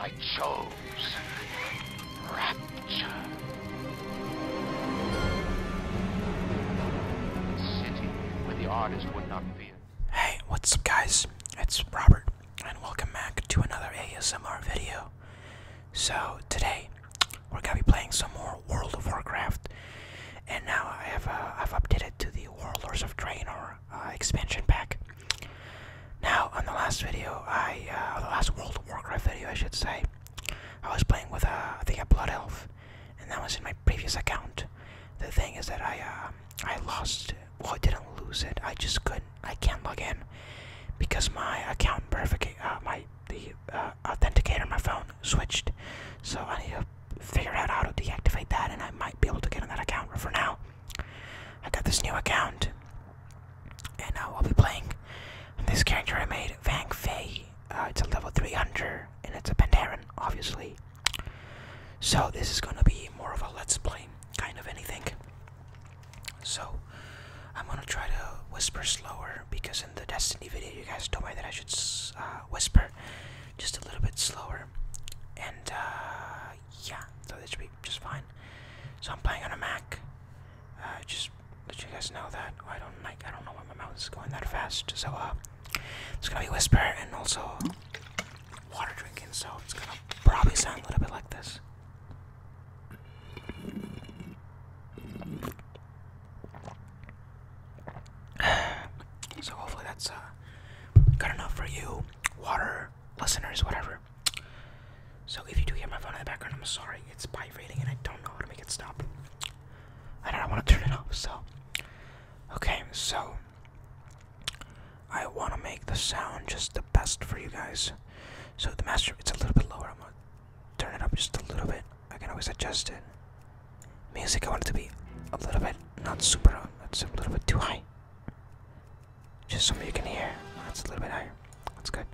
I chose rapture. Hey, what's up guys? It's Robert and welcome back to another ASMR video. So today we're gonna be playing some more World of Warcraft and now I have uh, I've updated to the Warlords of Draenor uh, expansion pack. Now, on the last video, I uh, the last World of Warcraft video, I should say, I was playing with a, uh, I think a blood elf, and that was in my previous account. The thing is that I um, I lost. Well, I didn't lose it. I just couldn't. I can't log in because my account verification, my the uh, authenticator, my phone switched. So I need to figure out how to deactivate that, and I might be able to get on that account. But for now, I got this new account, and uh, I'll be playing this character I made, Vang Fei. Uh, it's a level 300, and it's a Pandaren, obviously. So this is gonna be more of a let's play kind of anything. So I'm gonna try to whisper slower because in the Destiny video you guys don't mind that I should uh, whisper just a little bit slower, and uh, uh, yeah, so that should be just fine. So I'm playing on a Mac. Uh, just let you guys know that I don't like I don't know why my mouth is going that fast. So uh, it's gonna be whisper and also water drinking. So it's gonna probably sound a little bit like this. So hopefully that's uh, good enough for you water listeners, whatever. So if you do hear my phone in the background, I'm sorry. It's vibrating and I don't know how to make it stop. I don't want to turn it off, so. Okay, so. I want to make the sound just the best for you guys. So the master, it's a little bit lower. I'm going to turn it up just a little bit. I can always adjust it. Music, I want it to be a little bit, not super That's uh, a little bit too high. Just so you can hear. That's a little bit higher. That's good.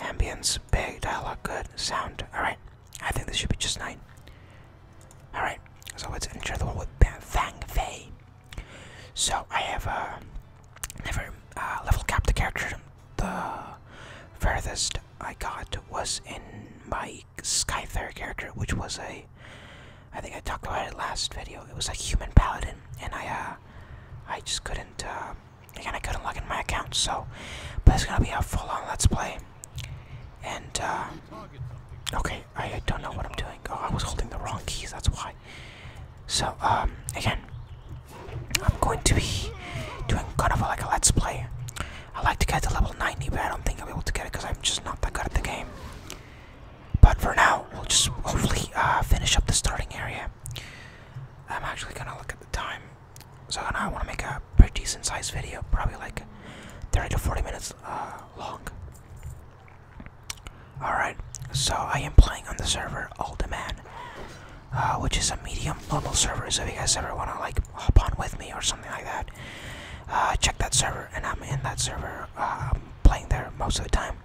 Ambience, big, dialogue, good, sound. Alright. I think this should be just fine. Alright. So let's enter the world with Fang Fei. So I have uh, never uh, level capped the character. The furthest I got was in my Skyther character, which was a I think I talked about it last video. It was a human paladin, and I uh, I just couldn't uh, again I couldn't log in my account. So, but it's gonna be a full-on let's play. And uh, okay, I, don't know what I'm doing. Oh, I was holding the wrong keys. That's why. So um, again, I'm going to be doing kind of like a let's play. I like to get to level 90, but I don't think I'll be able to get it because I'm just not that good at the game. But for now, we'll just hopefully uh, finish up the starting area. I'm actually gonna look at the time. So I want to make a pretty decent sized video, probably like 30 to 40 minutes uh, long. Alright, so I am playing on the server Ultiman, uh, which is a medium normal server. So if you guys ever want to like hop on with me or something like that, uh, check that server, and I'm in that server. Um, playing there most of the time.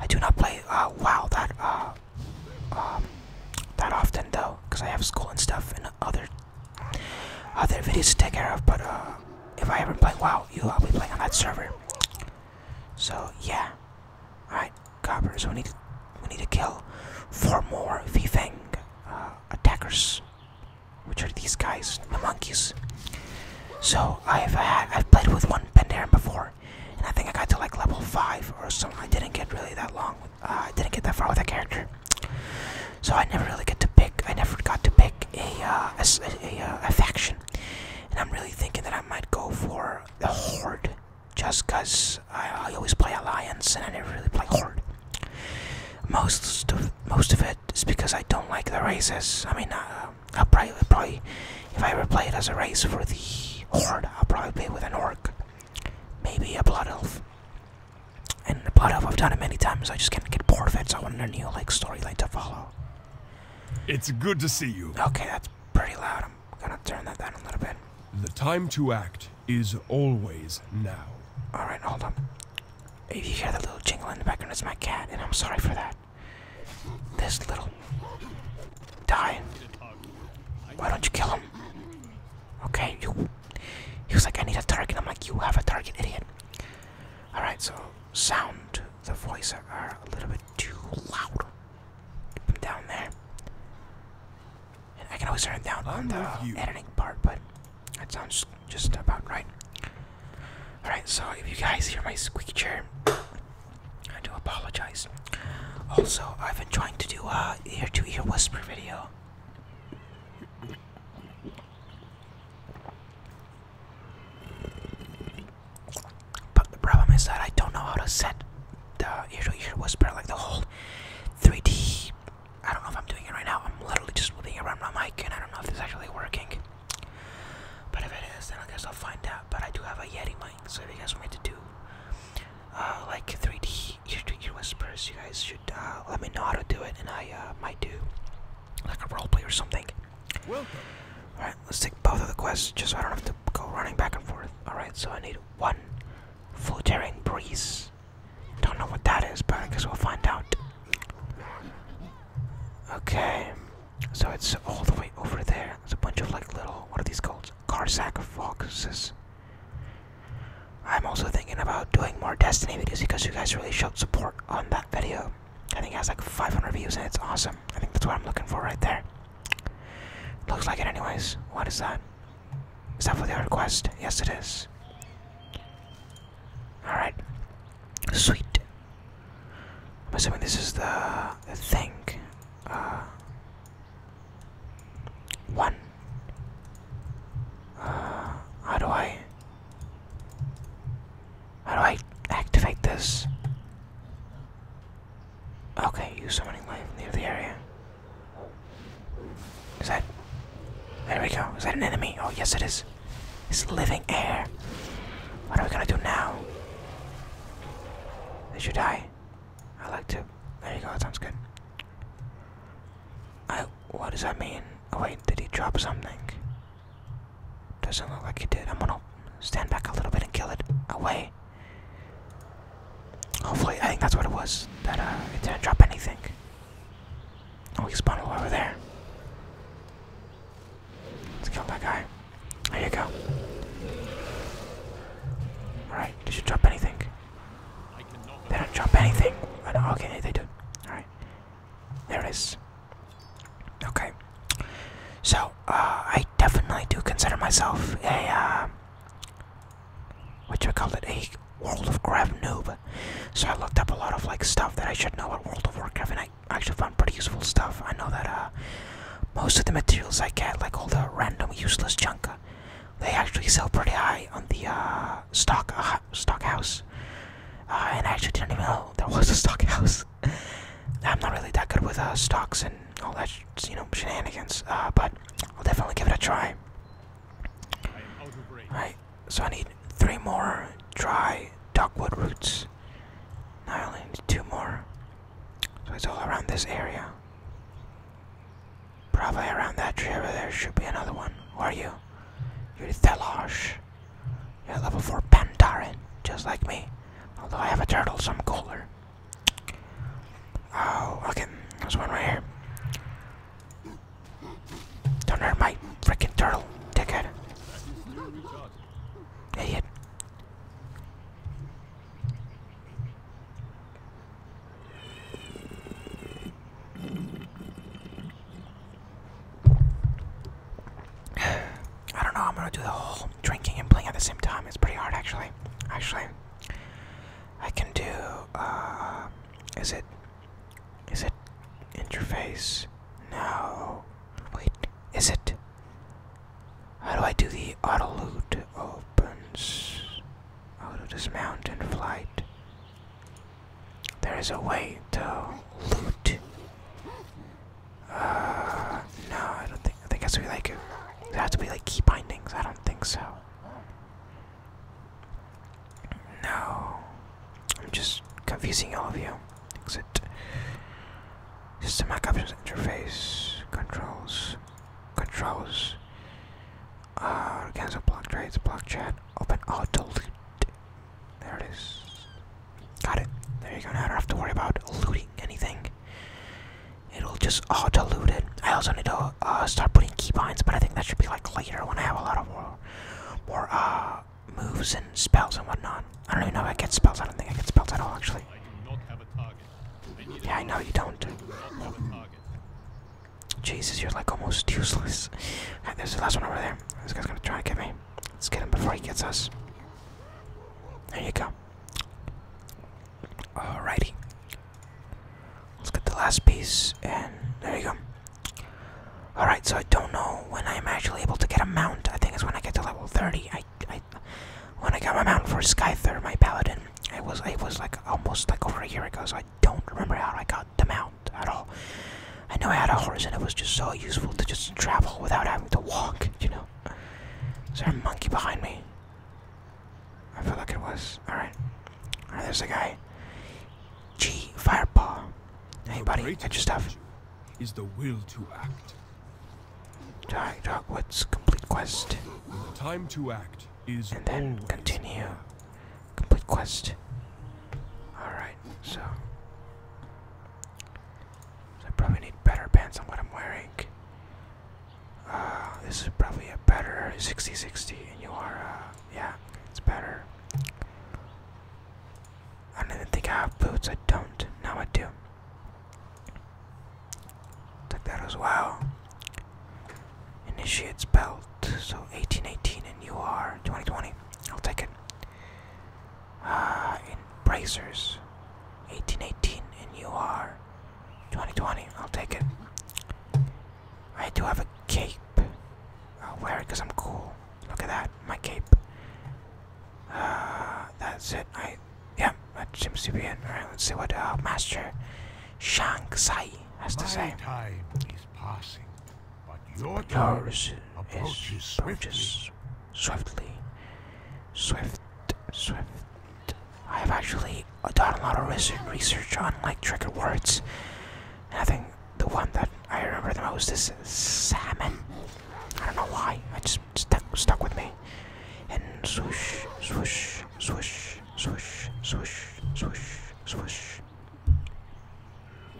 I do not play uh, WoW that uh, um, that often though, because I have school and stuff and other other videos to take care of. But uh, if I ever play WoW, you will be playing on that server. So yeah, all right, copper. we need to, we need to kill four more Vfang attackers which are these guys, the monkeys. So I've uh, I've played with one Pandaren before, and I think I got to like level five or something. I didn't get really that long. Uh, I didn't get that far with that character, so I never really get to pick. I never got to pick uh, a uh, a, faction, and I'm really thinking that I might go for the Horde, just cause I, I always play Alliance and I never really play Horde. Most of most of it just because I don't like the races. I mean, uh, I'll probably, probably, if I ever play it as a race for the Horde, I'll probably play with an Orc. Maybe a Blood Elf. And the Blood Elf, I've done it many times, I just can't get bored of it, so I want a new, like, story line to follow. It's good to see you. Okay, that's pretty loud. I'm gonna turn that down a little bit. The time to act is always now. Alright, hold on. If you hear the little jingle in the background, it's my cat, and I'm sorry for that. This little. Die. Why don't you kill him? Okay, you. He was like, I need a target. I'm like, you have a target, idiot. Alright, so sound. The voices are a little bit too loud. down there. And I can always turn it down on the editing part, but that sounds just about right. Alright, so if you guys hear my squeaky chair, I do apologize. Also, I've been trying to do a ear to ear whisper video. But the problem is that I don't know how to set the ear to ear whisper, like the whole 3D. I don't know if I'm doing it right now. I'm literally just moving around my mic, and I don't know if it's actually working. But if it is, then I guess I'll find out. But I do have a Yeti mic, so if you guys want me to do uh, like 3D ear whispers, you guys should uh, let me know how to do it, and I uh, might do like a roleplay or something. Welcome. All right, let's take both of the quests, just so I don't have to go running back and forth. All right, so I need one fluttering breeze. Don't know what that is, but I guess we'll find out. Okay. So it's all the way over there. There's a bunch of like little, what are these called? Carsack foxes. I'm also thinking about doing more Destiny videos because you guys really showed support on that video. I think it has like 500 views and it's awesome. I think that's what I'm looking for right there. Looks like it anyways. What is that? Is that for the request? Yes it is. Alright. Sweet. I'm assuming this is the, thing. Uh, one. Uh, how do I? How do I activate this? Okay, use many life near the area. Is that? There we go. Is that an enemy? Oh yes, it is. It's living air. What are we gonna do now? Did you die? I like to. There you go, That sounds good. I. What does that mean? Oh, wait, did he drop something? Doesn't look like he did. I'm gonna stand back a little bit and kill it away. Hopefully, I think that's what it was. That uh, it didn't drop anything. Oh, he spawned over there. Let's kill that guy. There you go. Alright, did you drop anything? They don't drop anything. okay, they do. Alright. There it is. Okay. So, uh, I definitely do consider myself a, uh, what you call it, a World of Craft noob. So I looked up a lot of, like, stuff that I should know about World of Warcraft, and I I actually found pretty useful stuff. I know that uh, most of the materials I get, like all the random useless junk, uh, they actually sell pretty high on the uh, stock uh, stock house. Uh, and I actually didn't even know there was a stock house. I'm not really that good with uh, stocks and all that, you know, shenanigans. Uh, but I'll definitely give it a try. All right, so I need three more dry dogwood roots. Now I only need two more. So it's all around this area. Probably around that tree over there should be another one. Who are you? You're Thelash. You're a level 4 Pandaren, just like me. Although I have a turtle, so I'm cooler. Oh, okay. There's one right here. Don't hurt my freaking turtle, dickhead. Idiot. I don't know. I'm gonna do the whole drinking and playing at the same time. It's pretty hard, actually. Actually, I can do. Uh, is it? Is it interface? Now, Wait, is it? How do I do the auto loot? Opens auto dismount and flight. There is a way to loot. Uh, no, I don't think. I think it has to be like. It has to be like key bindings. I don't think so. No. I'm just confusing all of you. Exit. System Mac interface controls controls. Uh, cancel block trades, block chat, open auto loot. There it is. Got it. There you go. Now I don't have to worry about looting anything. It'll just auto loot it. I also need to uh, start putting keybinds, but I think that should be like later when I have a lot of more, uh, moves and spells and whatnot. I don't even know if I get spells. I don't think I get spells at all, actually. Yeah, I know you don't. Jesus, you're like almost useless. Alright, there's the last one over there. This guy's gonna try and get me. Let's get him before he gets us. There you go. Alrighty. Let's get the last piece, and there you go. Alright, so I don't know when I'm actually able to get a mount. I think it's when I get to level 30. I when I got my mount for Skyther, my paladin, it was I was like almost like over a year ago, so I don't remember how I got the mount at all. I know I had a horse, and it was just so useful to just travel without having to walk. You know. Is there a monkey behind me? I feel like it was. All right. All right. There's a guy. G Fireball, Hey buddy, I your stuff. Is the will to act. Dark Dogwoods complete quest. Time to act and then continue. Complete quest. Alright, so. I probably need better pants on what I'm wearing. Uh, this is probably a better 60-60 and you are uh, yeah, it's better. I don't think I have boots, I don't. Now I do. Take that as well. Initiates belt. So 1818 and you are 2020. I'll take it. Uh, in bracers. 1818 and you are 2020. I'll take it. I do have a cape. I'll wear it because I'm cool. Look at that, my cape. Uh, that's it. I yeah, that seems to let's see what uh, Master Shang Tsai has to say. Time is passing, but your time yours approaches is swiftly. swiftly. Swift swift. I have actually done a lot of research on like trigger words. I think the one that I remember the most is salmon. I don't know why. I just stuck stuck with me. And swoosh, swoosh, swoosh, swoosh, swoosh, swoosh, swoosh.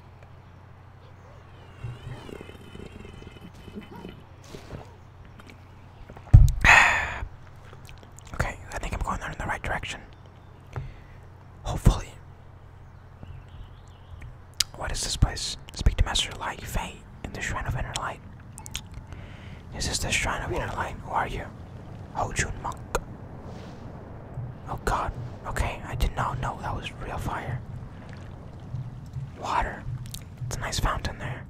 okay, I think I'm going in the right direction. Hopefully. What is this place? Speak to Master Light Fate in the Shrine of Inner Light. Is this the Shrine of Inner Light? Who are you? Hojun oh, Monk. Oh god. Okay, I did not know that was real fire. Water. It's a nice fountain there.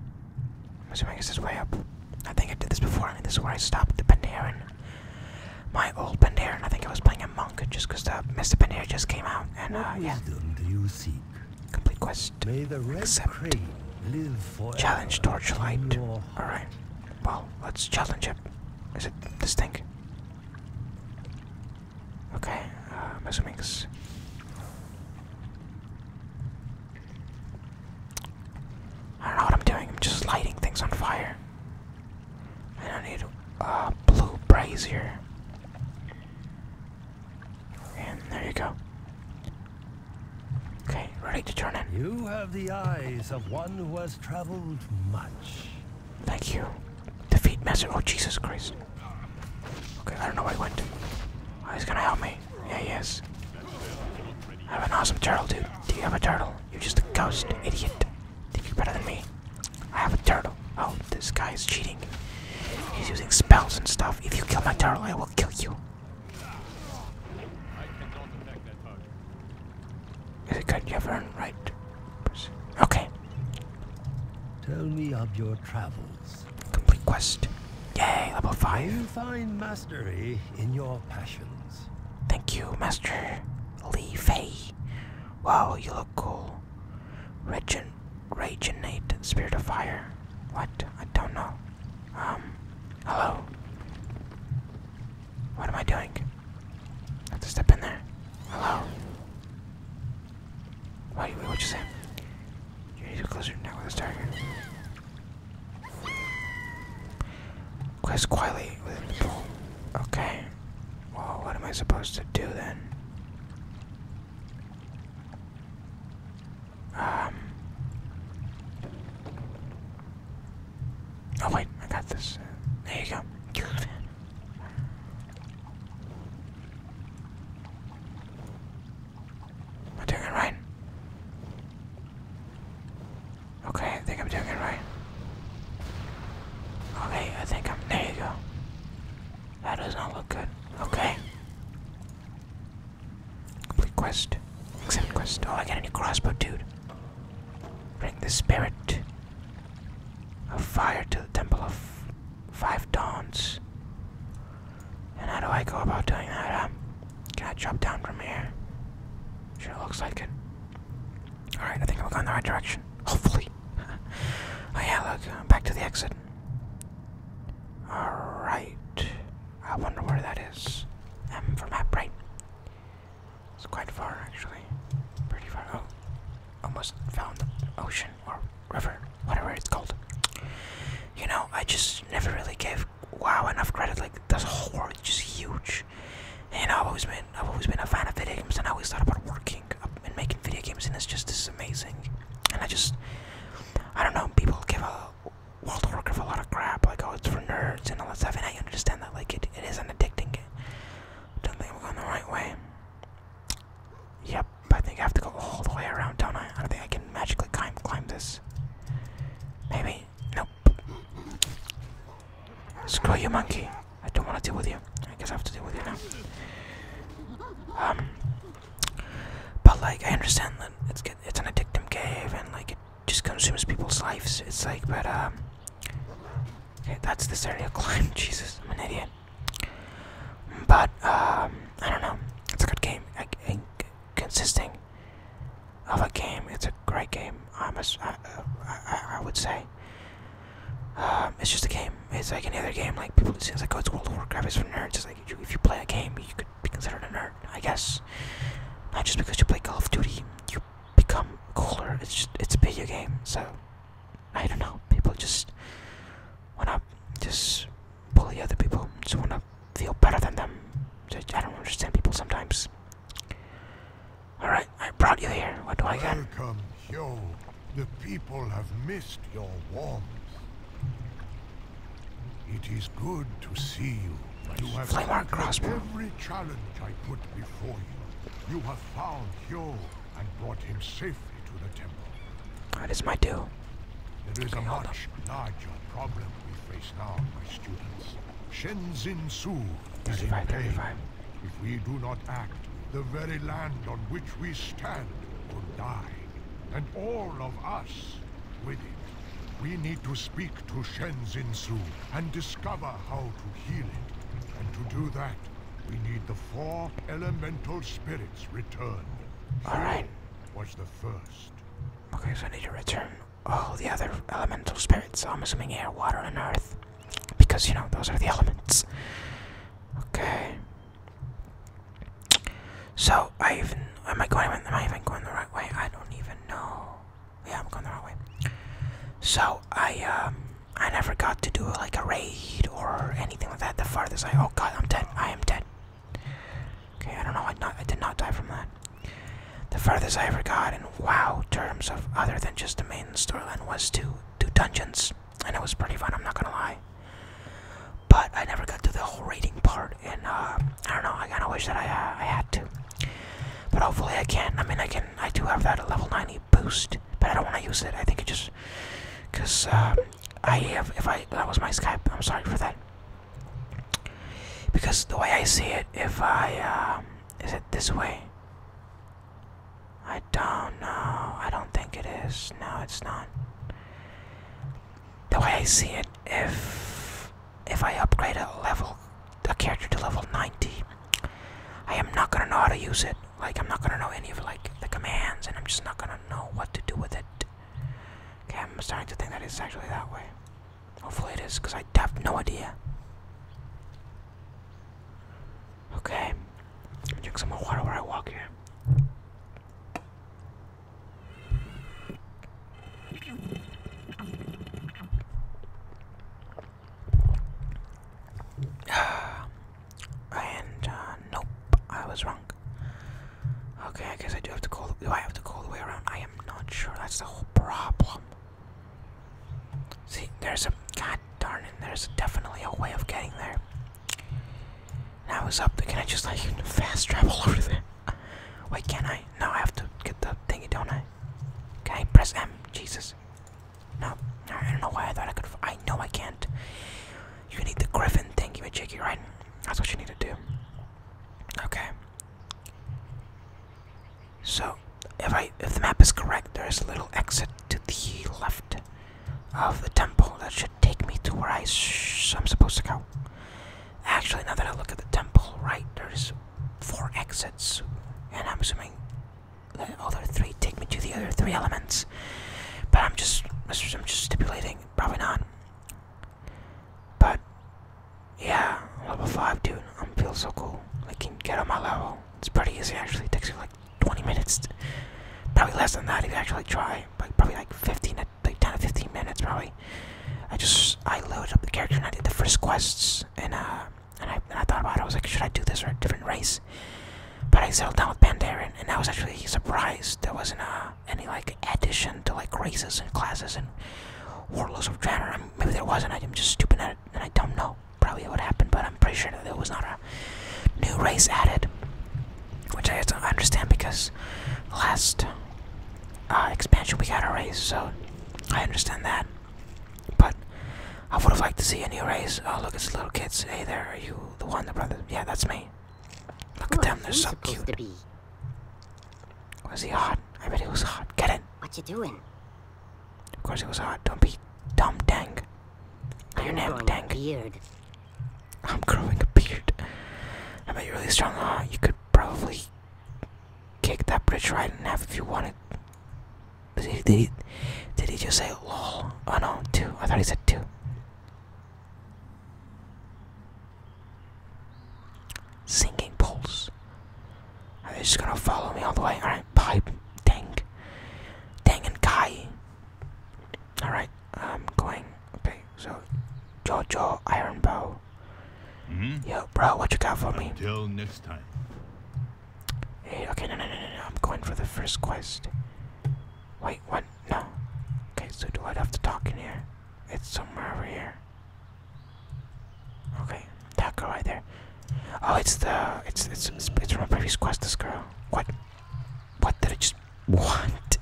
I'm assuming it's this way up. I think I did this before, I mean, this is where I stopped the Pandaren. My old Pandaren, I think I was playing a monk just because the Mr. Pandaren just came out, and uh, yeah. Complete quest. Accept. challenge Torchlight. Alright. Well, let's challenge it. Is it this thing? Okay, I'm assuming it's... I don't know what I'm doing. I'm just lighting things on fire. I don't need a blue brazier. And there you go. Okay, ready to turn in. You have the eyes of one who has traveled much. Thank you. Defeat Master. Oh, Jesus Christ. Okay, I don't know where he went. Oh, he's gonna help me. Yeah, he is. I have an awesome turtle, dude. Do you have a turtle? You're just a ghost, idiot. Think you're better than me. I have a turtle. Oh, this guy is cheating. He's using spells and stuff. If you kill my turtle, I will kill you. Is it good? You have earned right. Okay. Tell me of your travels. Complete quest. Yay, level 5. You find mastery in your passions. Thank you, Master Li Fei. Wow, you look cool. Regent Rage innate, spirit of fire. What? I don't know. Um, hello? What am I doing? I have to step in there. Hello? Wait, what'd you say? You need to close your now with this target. Quest quietly within the pool. Okay. Well, what am I supposed to do then? Um, oh wait, I got this. there you go. Am I doing it right? Okay, I think I'm doing it right. Okay, I think I'm. There you go. That does not look good. Okay. Complete quest. Accept quest. Oh, I got a new crossbow, oh, dude. Bring the spirit of fire to the temple of five dawns. And how do I go about doing that? can I drop down from here? Sure looks like it. Alright, I think I'm going in the right direction. Hopefully. oh yeah, look, I'm uh, back to the exit. Alright. I wonder where that is. M for map, right? It's quite far, actually. Pretty far. Oh, almost found the ocean or river, whatever it's called. You know, I just never really gave WoW enough credit. Like, this whole world is just huge. And I've always been, I've always been a fan of video games, and I always thought about working and making video games, and it's just this amazing. And I just, I don't know, people give a World of Warcraft a lot of crap, like, oh, it's for nerds and all that stuff, and I understand that, like, it, it is an addicting game. Don't think we're going the right way. Yep, I think I have to go all the way around, don't I? I don't think I can magically climb, climb this. Maybe. Nope. Screw you, monkey. I don't want to deal with you. I guess I have to deal with you now. Um, but like, I understand that it's it's an addictive cave, and like it just consumes people's lives. It's like, but um, okay, that's this area climb. Jesus, I'm an idiot. But um, I don't know. It's a good game. I, I, consisting of a game, it's a great game. I must, I, I, I would say. Um, it's just a game. It's like any other game. Like people, just it's like oh, it's World of Warcraft. It's for nerds if you play a game, you could be considered a nerd, I guess. Not just because you play Call of Duty, you become cooler. It's just it's a video game, so I don't know. People just wanna just bully other people, just wanna feel better than them. I don't understand people sometimes. All right, I brought you here. What do I get? Welcome, Hyo. The people have missed your warmth. It is good to see you. You have Flame every challenge I put before you. You have found Hyo and brought him safely to the temple. That is my due. There is a much larger problem we face now, my students. Shenzin Su is in pain. If we do not act, the very land on which we stand will die and all of us with it. We need to speak to Shen Su and discover how to heal it. And to do that, we need the four elemental spirits returned. Alright. Was the first. Okay, so I need to return all the other elemental spirits. I'm assuming air, water, and earth. Because, you know, those are the elements. Okay. So I even am I going am I even going the right way? I don't even know. Yeah, I'm going the right way. So I um I never got to do like a raid or anything like that. The farthest I oh god I'm dead. I am dead. Okay, I don't know. I I did not die from that. The farthest I ever got in WoW terms of other than just the main storyline was to do dungeons, and it was pretty fun. I'm not gonna lie but I never got to the whole rating part, and uh, I don't know. I kind of wish that I uh, I had to, but hopefully I can. I mean, I can. I do have that level 90 boost, but I don't want to use it. I think it just because um, I have. If I that was my Skype. I'm sorry for that. Because the way I see it, if I um, is it this way? I don't know. I don't think it is. No, it's not the way I see it, if if I upgrade a level, a character to level 90, I am not gonna know how to use it. Like I'm not gonna know any of like the commands, and I'm just not gonna know what to do with it. Okay, I'm starting to think that it's actually that way. Hopefully it is, because I have no idea. Okay, drink some more water while I walk here. and uh, nope, I was wrong. Okay, I guess I do have to call. Do I have to go the way around? I am not sure. That's the whole problem. See, there's a god darn There's definitely a way of getting there. Now I was up there. Can I just like fast travel over there? Wait, can I? No, I have to get the thingy, don't I? Okay, press M? Jesus. No, I don't know why I thought I could. I know I can't. You need the griffin thingy, jiggy, right? That's what you need to do. Okay. So, if I if the map is correct, there is a little exit to the left of the temple that should take me to where I shh I'm supposed to go. Actually, now that I look at the temple, right, there's four exits, and I'm assuming the other three take me to the other three elements. But I'm just, I'm just stipulating, probably not. But yeah, level five, dude. I am feel so cool. Like, can get on my level. It's pretty easy actually. It takes you like 20 minutes, probably less than that if you actually try. Like, probably like 15 like 10 or 15 minutes probably. I just I loaded up the character and I did the first quests and uh and I, and I thought about it. I was like, should I do this or a different race? But I settled down with Pandaren, and I was actually surprised there wasn't uh, any like addition to like races and classes and warlords of Draenor. maybe there wasn't. I'm just stupid at it, and I don't know. Probably what happened, but I'm pretty sure that there was not a new race added. Which I understand because last uh, expansion we got a raise, so I understand that. But I would have liked to see a new raise. Oh, look, it's little kids. Hey there, are you the one, the brother? Yeah, that's me. Look at them, they're so cute. Was he hot? I bet he was hot. Get in. What you doing? Of course he was hot. Don't be dumb, Dang. Your name, Dang. Weird. I'm growing a beard. I am a really strong, huh? You could probably kick that bridge right in half if you wanted. did, he, did he just say lol? Oh no, two. I thought he said two. Sinking poles. Are they just gonna follow me all the way? Alright, pipe. Dang. Dang and Kai. Alright. I'm going. Okay, so Jojo Iron Bow. Mm Yo, bro, what you got for me? Till next time. Hey, okay, no, no, no, no, no. I'm going for the first quest. Wait, what? No. Okay, so do I have to talk in here? It's somewhere over here. Okay, that girl right there. Oh, it's the it's it's it's, it's from a previous quest. This girl. What? What did I just? What?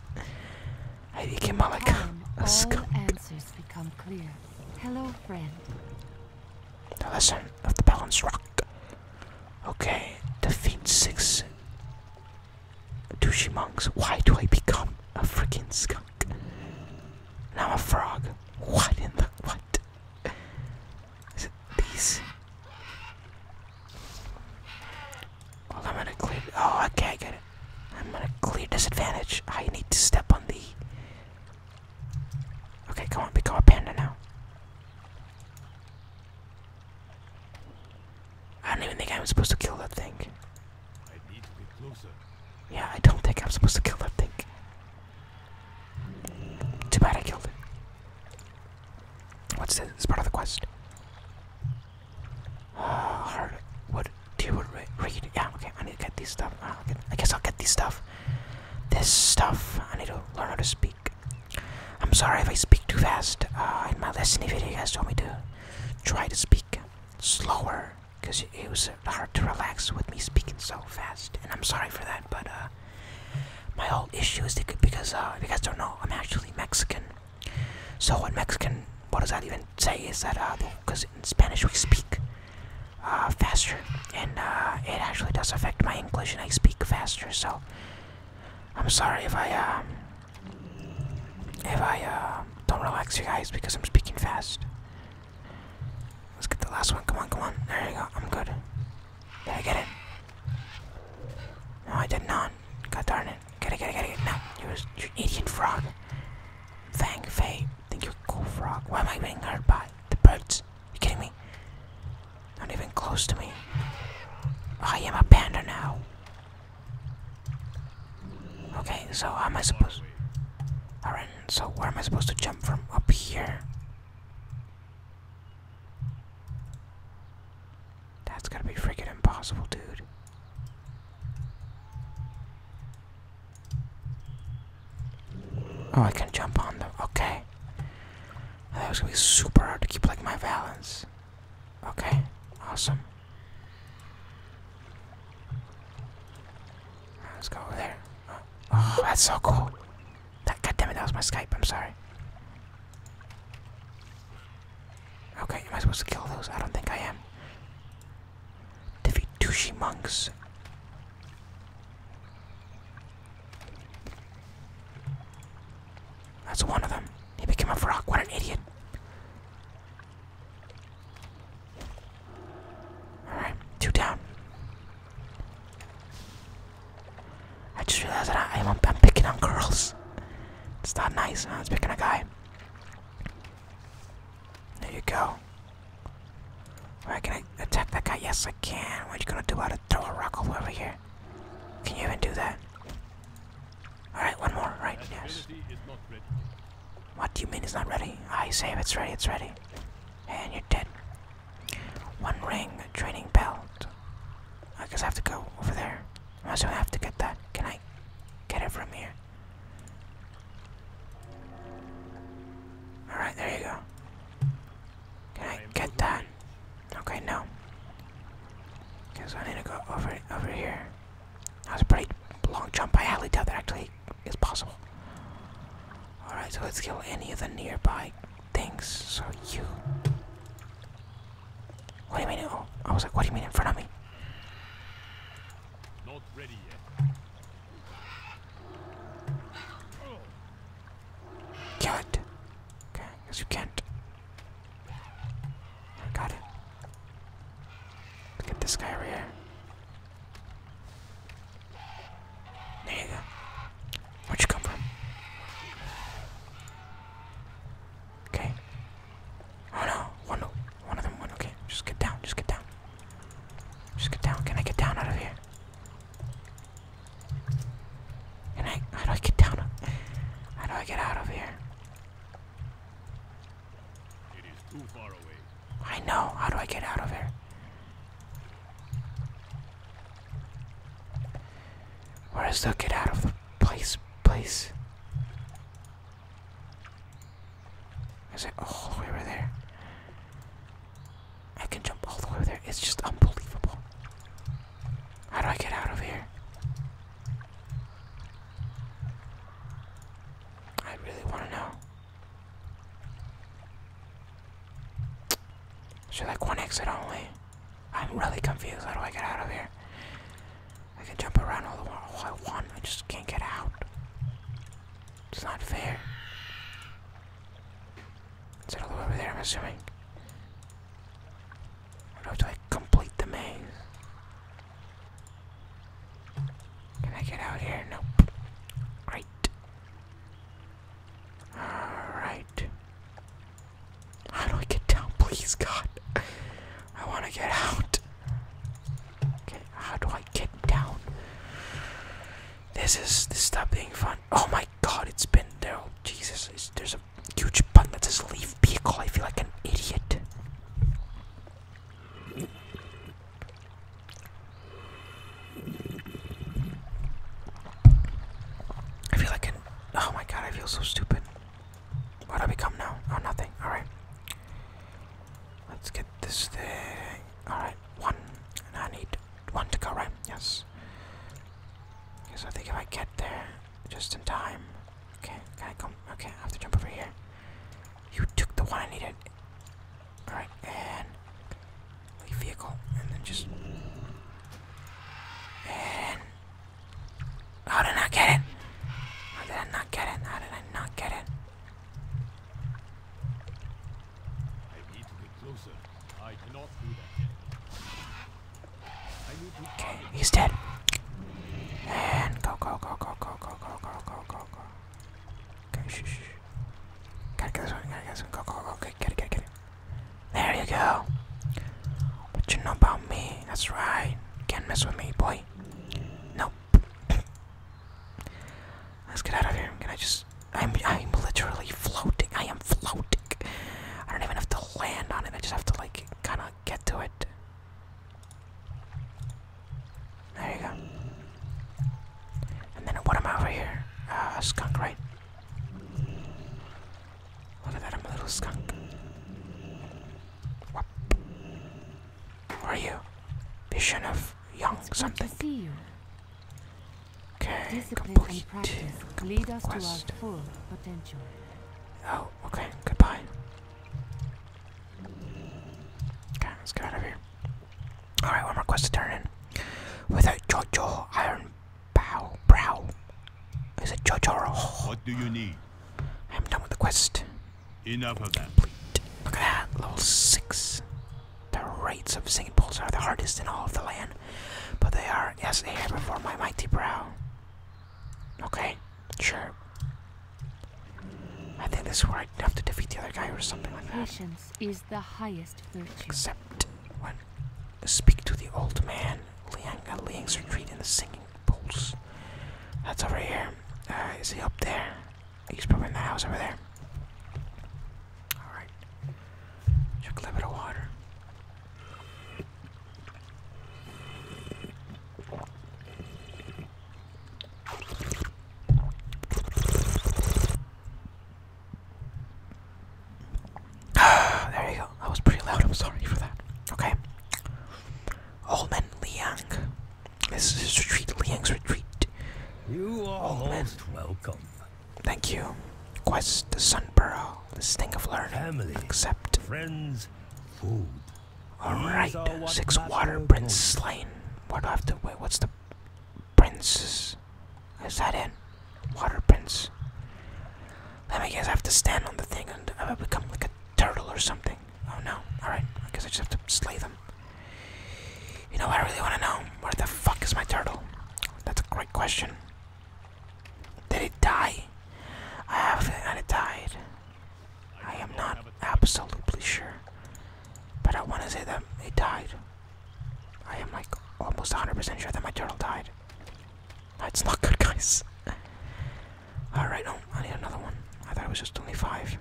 I became a, skunk. Answers become clear. Hello, friend. The lesson of the balance rock. Okay, defeat six douchey monks. Why do I become a freaking skunk? Now I'm a frog. What in the what? Is it these? I'm gonna clear. Oh, I can't get it. I'm gonna clear disadvantage. I need to step on the. Okay, come on, become a panda now. I don't even think I'm supposed to kill that thing. I need to be closer. Yeah, I don't think I'm supposed to kill that thing. Too bad I killed it. What's this? It's part of the quest. Hard wood, dear wood, read. Yeah, okay, I need to get these stuff. Ah, I guess I'll get these stuff. This stuff, I need to learn how to speak. I'm sorry if I speak too fast. Uh, in my listening video, you guys told me to try to speak slower because it was hard to relax with me speaking so fast. And I'm sorry for that, but uh, my whole issue is because uh, if you guys don't know, I'm actually Mexican. So in Mexican, what does that even say? Is that uh, because in Spanish we speak uh, faster, and uh, it actually does affect my English, and I speak faster. So I'm sorry if I uh, if I uh, don't relax you guys because I'm speaking fast. Let's get the last one. Come on, come on. There you go. I'm good. Did I get it? No, I did not. God darn it. Get it, gotta get it. No, you're, you're an idiot frog. Fang, Faye, think you're a cool frog. Why am I being hurt by the birds? You kidding me? Not even close to me. I am a panda now. Okay, so how am I supposed... Alright, so where am I supposed to jump from? Up here? That's gotta be freaking impossible, dude. Oh, I can jump on them. Okay. That was gonna be super hard to keep like my balance. Okay, awesome. Let's go over there. Oh, that's so cool. That, God it, that was my Skype. I'm sorry. Okay, am I supposed to kill those? I don't think I am. The Vitushi monks. That's one of them. He became a frog. What an idiot. Alright, two down. I just realized that I, am picking on girls. It's not nice, i It's picking a guy. There you go. Alright, can I attack that guy? Yes, I can. What are you gonna do about to Throw a rock over here. Can you even do that? Alright, one more, right? Yes. What do you mean it's not ready? I say it's ready, it's ready. And you're dead. One ring, training belt. I guess I have to go over there. I also have to get that. Can I get it from here? Alright, there you go. Can I get that? Okay, no. Because I need to go over over here. That was a pretty long jump. I highly Tell that actually is possible. Alright, so let's kill any of the nearby things. So you. What do you mean? Oh, I was like, what do you mean in front of me? Not ready yet. Can't. Okay, I you can't. got it. Look this guy over here. There you go. Where'd you come from? Okay, Oh no, one, one of them went, okay. Just get down, just get down. Just get down, can I get down out of here? Can I, how do I get down? How do I get out of here? It is too far away. I know, how do I get out of here? Where is the get out of the place, place? Is it oh, all the way over there? I can jump all the way over there. It's just unbelievable. How do I get out of here? I really want to know. Should like one exit only? I'm really confused. How do I get out of here? I can jump around all, the, all I want, I just can't get out. It's not fair. Is it all the way over there, I'm assuming? Or do I have to, like, complete the maze? Can I get out here? Nope. Great. Alright. I do not get down, please, God? I want to get out. Okay, how do I get down? This is this stop being fun. Oh my god, it's been there. Oh, Jesus, there's a huge button that says leave vehicle. I feel like an idiot. I feel like an. Oh my god, I feel so stupid. What do I become now? Oh, nothing. Alright. Let's get this thing. Alright, one. And I need one to go, right? Yes. Because I think if I get there just in time. Okay, can I come? Okay, I have to jump over here. You took the one I needed. Alright, and vehicle. And then just. And. How did I get it? How did I not get it? How did I not get it? I need to get closer. I cannot do that. I need to Okay, he's dead. And go go go go go go go go go go go. Okay, shh shh. Gotta get this one, gotta get this one, go go go okay, get it, get it, get it. There you go. What you know about me? That's right. Can't mess with me, boy. Nope. Let's get out of here. Can I just? I'm I'm literally floating. I am floating. I don't even have to land on it. I just have to like kind of get to it. There you go. And then what am I over here? Ah, skunk, right? Look at that. I'm a little skunk are you? Vision of young something. See Okay, Discipline complete. complete lead us quest. to our full potential. Oh, okay. Goodbye. Okay, let's get out of here. Alright, one more quest to turn in. With a Jojo Iron Bow Brow. Is it Jojo? What do you need? I'm done with the quest. Enough of that. Look at that, level 6. The rates of singing pools are the hardest in all of the land, but they are as they air before my mighty brow. Okay, sure. I think this is where I have to defeat the other guy or something like that. Patience is the highest virtue. Except when I speak to the old man, Liang at uh, Liang's retreat in the singing pools. That's over here. Uh, is he up there? He's probably in that house over there. Alright. Just a little bit of there you go. That was pretty loud. I'm sorry for that. Okay. Old Liang. This is his retreat, Liang's retreat. You are oh, most welcome. Thank you. Quest the Sun Pearl. the Sting of Learning. Family, Accept. Friends, food. Alright, six water prince slain. What do I have to wait? What's the princes? Is that it? Water prince. Let me guess, I have to stand on the thing and I become like a turtle or something. Oh no, alright, I guess I just have to slay them. You know I really want to know? Where the fuck is my turtle? That's a great question. Did it die? I have and it died. I am not absolutely sure. But I want to say that it died. I am like almost 100% sure that my turtle died. That's not good, guys. Alright, oh, I need another one. I thought it was just only five.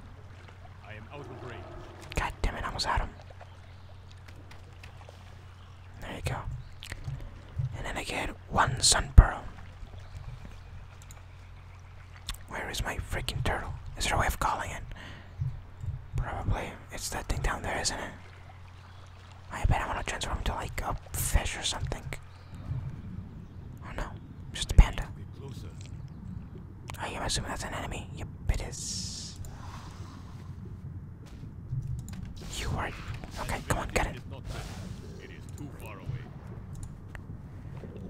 I am out of range. God damn it, I almost had him. There you go. And then I get one sun pearl. Where is my freaking turtle? Is there a way of calling it? Probably. It's that thing down there, isn't it? I bet I want to transform into like a fish or something. Oh no, just a panda. Oh, I am assuming that's an enemy. Yep, it is. You are. Okay, come on, get it.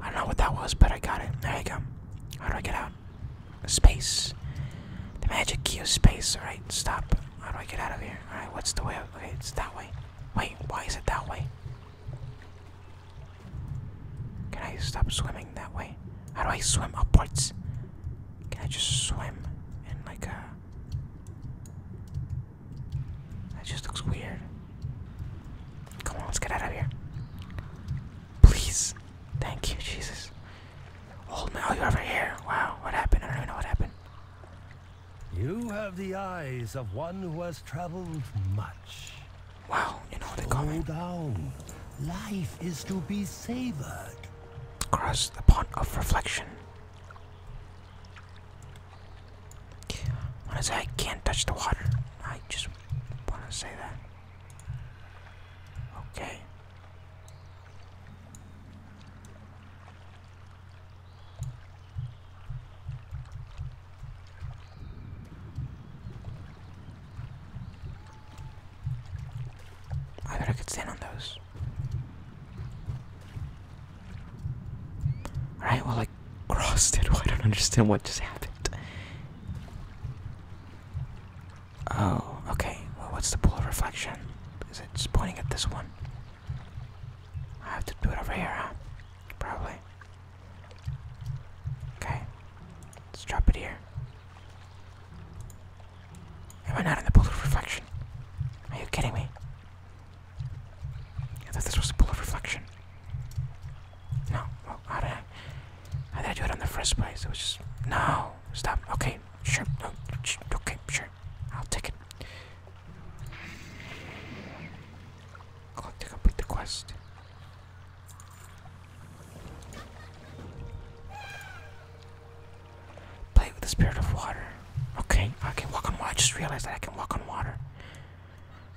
I don't know what that was, but I got it. There you go. How do I get out? Space. The magic key is space. Alright, stop. How do I get out of here? Alright, what's the way? Out? Okay, it's that way. Wait, why is it that way? Can I stop swimming that way? How do I swim upwards? Can I just swim in like a. That just looks weird. Come on, let's get out of here. Please. Thank you, Jesus. Old man, oh, you're over here. Wow, what happened? I don't even know what happened. You have the eyes of one who has traveled much. Wow, you know they coming. down. Life is to be savored. Cross the pond of reflection. When I say I can't touch the water, I just want to say that. Okay. I bet I could stand on those. Alright, well I crossed it. Well, I don't understand what just happened. Oh, okay. Well, what's the pool of reflection? Is it just pointing at this one? I have to do it over here, Probably. Okay. Let's drop it here. Am I not in the pool of reflection? Are you kidding me? I thought this was the pool of reflection. No. how did I? did I do it on the first place? It was just no. Stop. Okay. Sure. okay. Sure. I'll take it. Click to complete the quest. Play with the spirit of water. Okay, I can walk on water. I just realized that I can walk on water.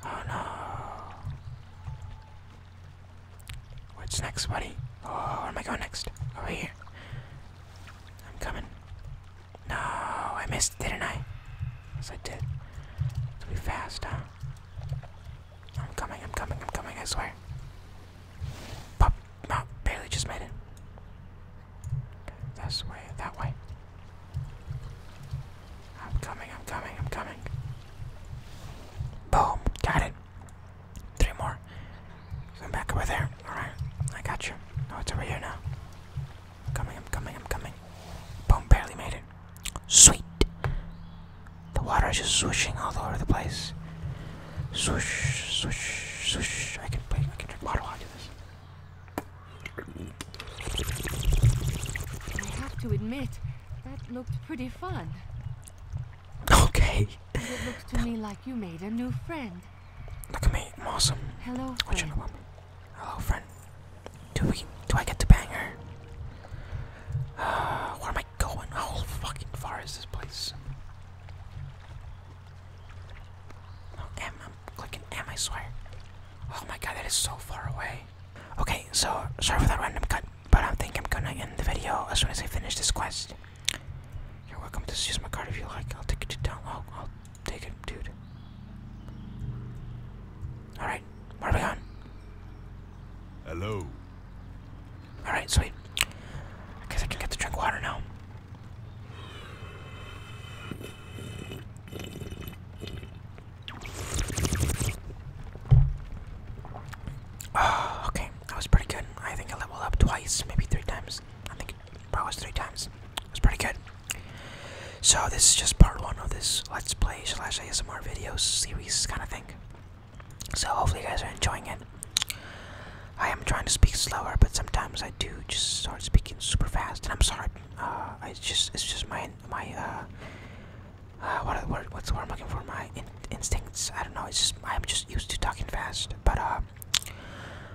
Oh no. What's next, buddy? Oh, where am I going next? Over here. I'm coming. No, I missed, didn't I? Yes, I did. To be fast, huh? I'm coming, I'm coming, I'm coming, I swear. Pop, no, barely just made it. This way, that way. I'm coming, I'm coming, I'm coming. Boom, got it. Three more. I'm back over there. Alright, I got you. No, oh, it's over here now. I'm coming, I'm coming, I'm coming. Boom, barely made it. Sweet. The water is just swishing all over the place. Swish, swish, swish. I can play. I can drink water while I do this. I have to admit, that looked pretty fun. Okay. It looks to me like you made a new friend. Look at me, I'm awesome. Hello, what friend. What you Hello, friend. Do we? Do I get to bang her? Uh, am I going? How fucking far is this place? Oh, M, I'm clicking M, I Oh my god, that is so far away. Okay, so sorry for that random cut, but I think I'm gonna end the video as soon as I finish this quest. You're welcome to use my card if you like. I'll take it to town. Oh, I'll take it, dude. Alright, where are we on? Hello. Alright, sweet. I guess I can get to drink water now. Oh, okay, that was pretty good. I think I leveled up twice, maybe three times. I think probably was three times. It was pretty good. So this is just part one of this Let's Play slash ASMR videos series kind of thing. So hopefully you guys are enjoying it. I am trying to speak slower, but sometimes I do just start speaking super fast, and I'm sorry. Uh, it's just it's just my my uh, uh what are the word what's the word I'm looking for? My instincts. I don't know. It's just I'm just used to talking fast, but uh,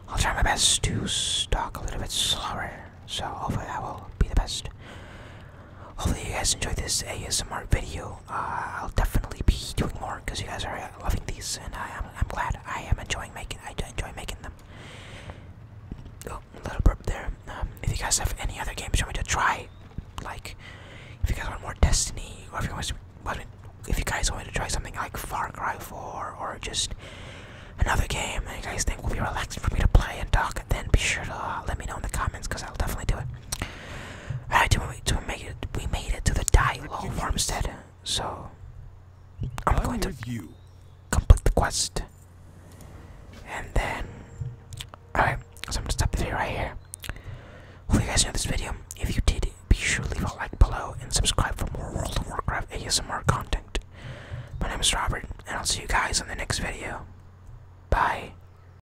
I'll try my best to talk a little bit slower. So hopefully that will be the best. Hopefully you guys enjoyed this ASMR video. Uh, I'll definitely be doing more because you guys are loving these, and I am I'm glad I am enjoying making I enjoy making them. Oh, little burp there. Um, if you guys have any other games you want me to try, like if you guys want more Destiny, or if you guys want me, if you guys want me to try something like Far Cry 4 or just another game that you guys think will be relaxing for me to play and talk, then be sure to uh, let me know in the comments because I'll definitely do it. I do we to make it we made it to the die farmstead, so I'm going to you. complete the quest. And then Alright, so I'm gonna stop the video right here. Hope you guys enjoyed this video. If you did, be sure to leave a like below and subscribe for more World of Warcraft ASMR content. My name is Robert, and I'll see you guys in the next video. Bye.